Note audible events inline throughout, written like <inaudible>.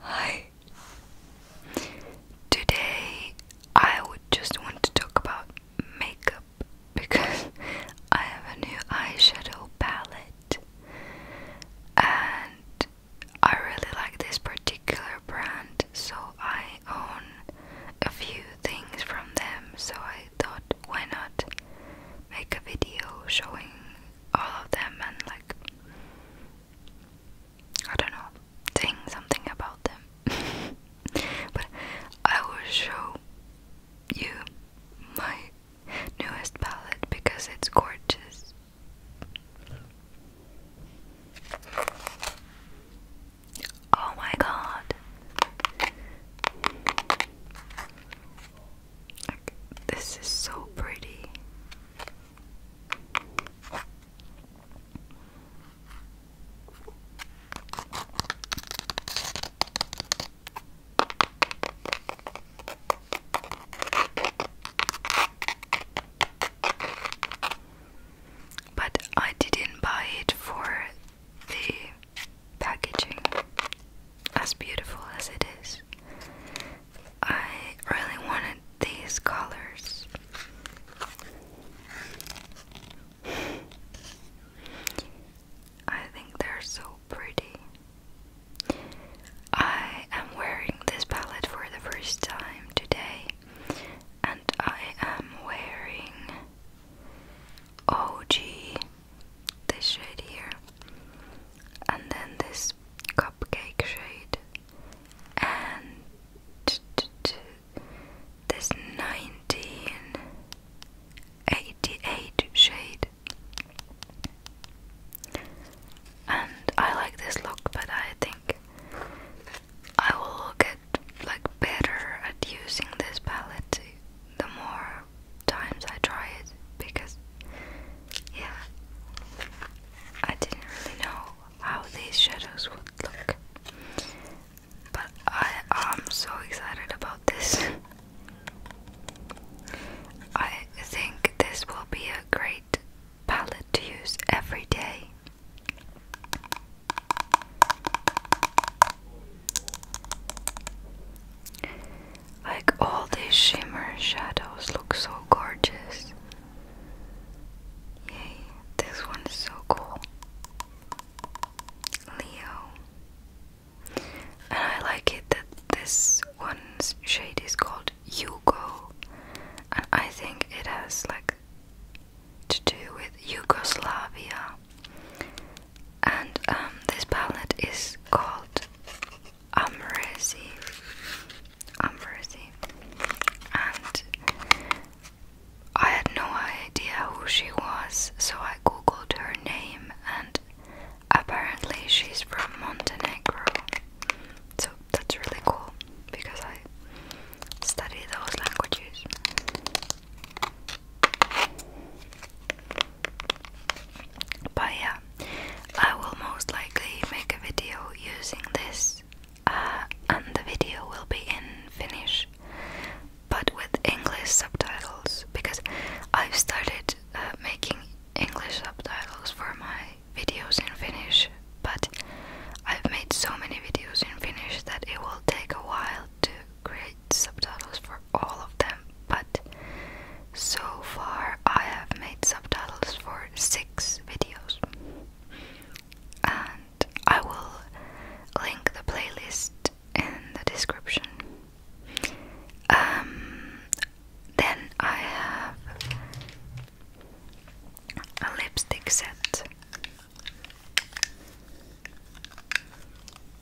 Hi. Today I would just want to talk about makeup because <laughs> I have a new eyeshadow palette and I really like this particular brand, so I own a few things from them, so I thought why not make a video showing all of them and like. I don't know, saying something about them. <laughs> but I will show you my newest palette because it's gorgeous. Oh my god this is so pretty. But I didn't buy it for the packaging, as beautiful as it is. I really wanted these colors. I think they're so pretty. I am wearing this palette for the first time today, and I am wearing OG this shade here and then this cupcake shade and this 1988 shade and I like this look but I think I will get like better at using this palette too the more times I try it because yeah I didn't really know how these shadows would look but I am so excited about this I think this will be a great palette to use every day like all these shimmer shadows look so gorgeous. Yay, this one is so cool. Leo. And I like it that this one's shade is called Yugo. And I think it has like to do with Yugoslavia and um, this palette is called Amrezi. Amrezi. And I had no idea who she was, so I googled her name, and apparently she's from Montenegro. So that's really cool because I study those languages. But yeah, I will most likely make a video using this, uh, and the video will be in Finnish, but with English subtitles because I've started uh, making English subtitles for my videos in Finnish, but I've made so many videos in Finnish that it will take a while to create subtitles for all of them, but so far I have made subtitles for six videos. And I will link the playlist in the description. Um, then I have a lipstick set.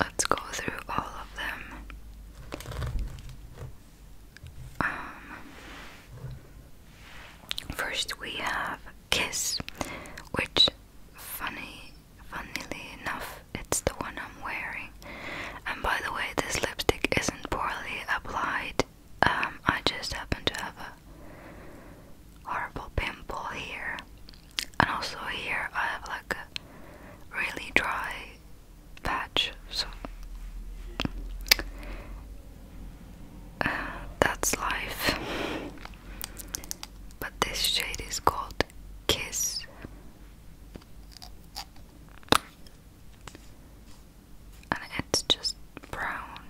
Let's go through all of them. Um, first, we have Kiss, which, funny, funnily enough, it's the one I'm wearing. And by the way, this lipstick isn't poorly applied, um, I just happen to have a horrible pimple here, and also here I have like a really dry patch. So uh, that's life. But this shade is called Kiss and it's just brown.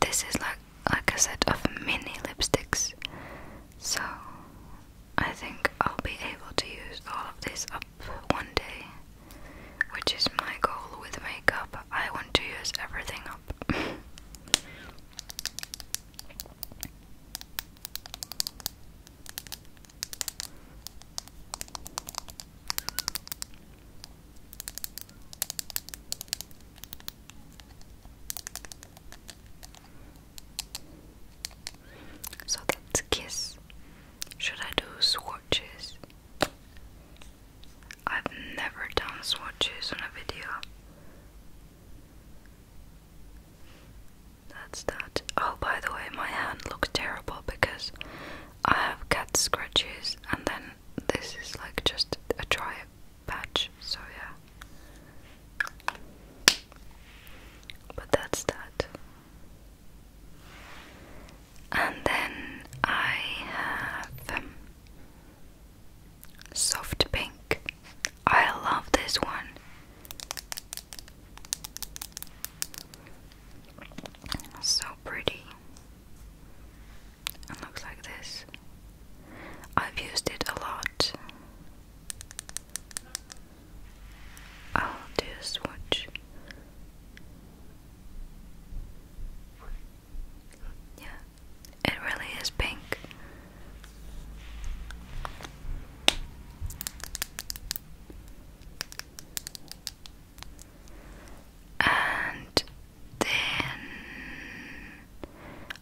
This is like like a set of mini lipsticks, so I think I'll be able to use all of this up one day, which is my goal with makeup. I want to use everything up. So that's kiss. Should I do swatches? I've never done swatches on a video. That's that. Oh, by the way, my hand looks terrible because I have cat scratches and then this is like just a try patch. so yeah. But that's that. And then I have um, soft pink. I love this one. So pretty. It looks like this. I've used it a lot. I'll do a swatch. Yeah, it really is pink and then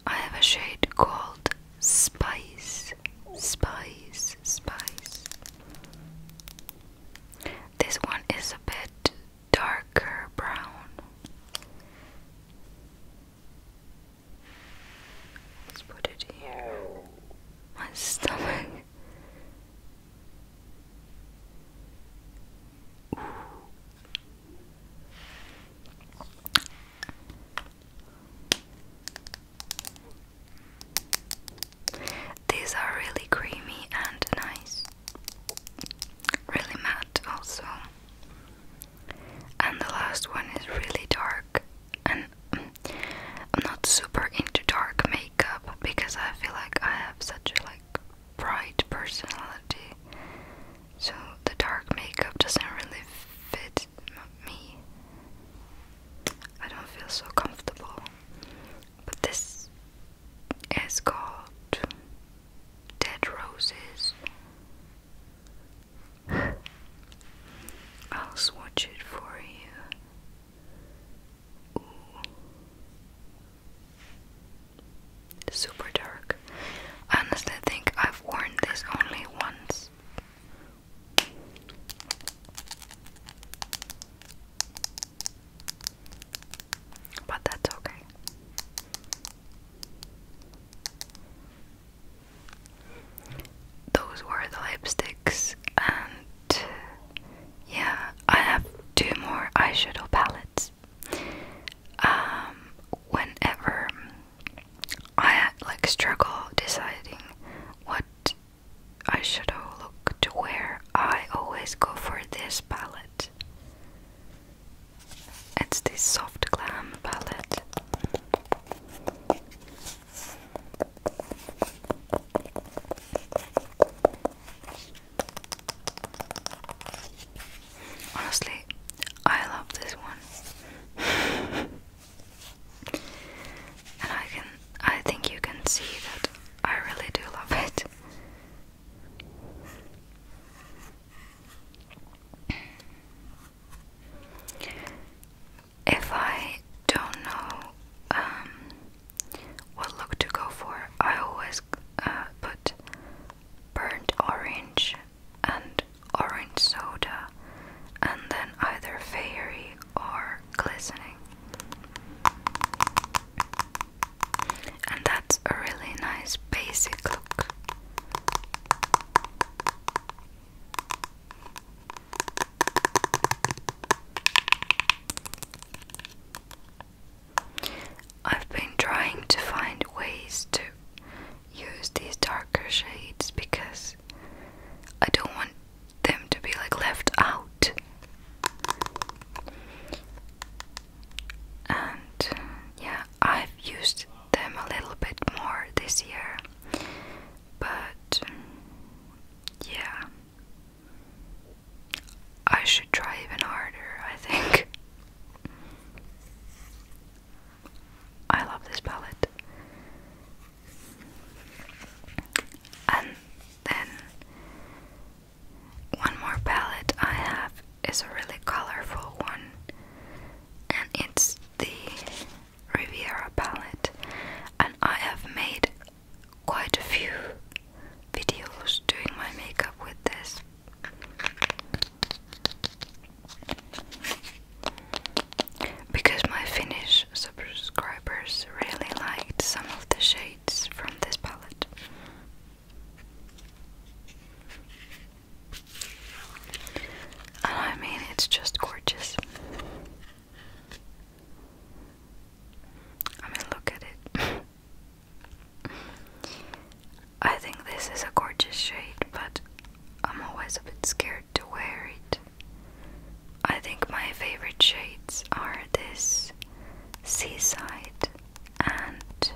I have a shade called Spice, Spice, Spice. This one is a bit darker brown. Let's put it here. My stomach these are really creamy and nice, really matte, also. And the last one is really dark, and I'm <clears throat> not super into dark makeup because I feel like I have such a like bright personality. So the dark makeup doesn't really fit me. I don't feel so comfortable. But this is called Dead Roses. <sighs> I'll swatch it for you. Super dark. I honestly think I've worn this only once. But that's okay those were the lipsticks, and yeah, I have two more eyeshadow palettes. Um, whenever I like struggle deciding what eyeshadow look to wear, I always go for this palette. It's this soft glam palette. Honestly, I love this one. and I can I think you can see that I really do love it if I don't know um, what look to go for, I always uh, put burnt orange and orange soda, and then either fairy or glistening. And that's a really nice basic look. I've been trying to find ways to use these darker shades because I don't want them to be like left out. And yeah, I've used them a little bit more this year. But yeah, I should try even harder, I think. I love this palette. And then one more palette I have is a really colorful one, and it's the Riviera palette, and I have made quite a few videos doing my makeup with this. Because my Finnish subscribers really liked some of the shades from this palette. I mean, it's just gorgeous. I mean, look at it. <laughs> I think this is a gorgeous shade, but I'm always a bit scared to wear it. I think my favorite shades are this seaside and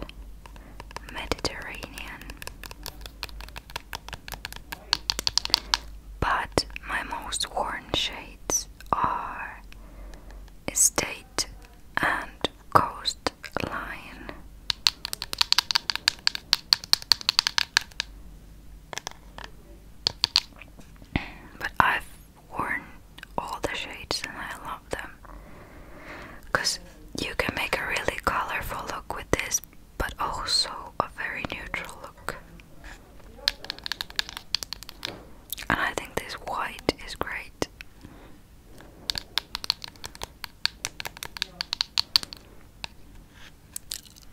Mediterranean. But my most worn shades are estate and coastline. But I've worn all the shades and I love them because you can make a really colorful look with this but also a very neutral look. And I think this white is great.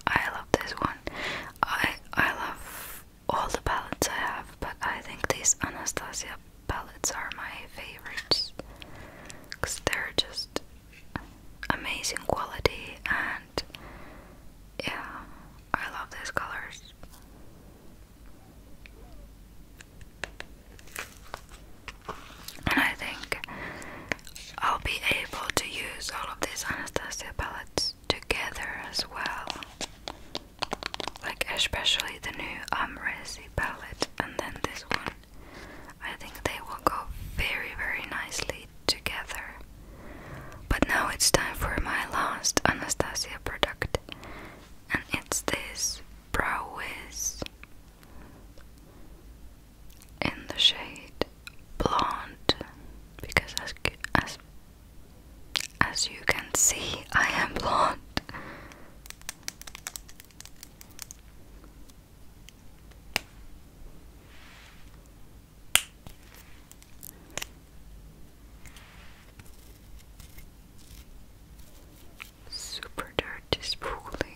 I love this one. I I love all the palettes I have, but I think these Anastasia palettes are my favorites because they're just amazing quality and yeah, I love these colors. And I think I'll be able to use all of these Anastasia palettes together as well. Like, especially the new Amresi palette and then this one. I think they will go very, very nicely together. But now it's time for my last Anastasia product, and it's this Brow Wiz in the shade Blonde. Because as as as you can see, I am blonde. Super dirty spoolie.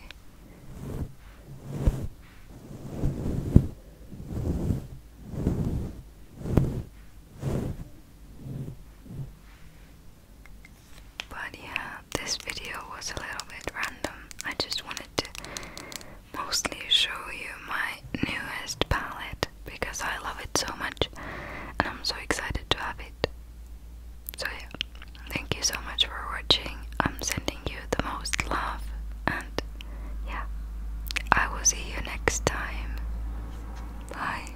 But yeah, this video was a little bit random. I just wanted to mostly show you my newest palette because I love it so much and I'm so excited to have it. So yeah, thank you so much for watching. I'm sending you the most love and yeah, I will see you next time. Bye.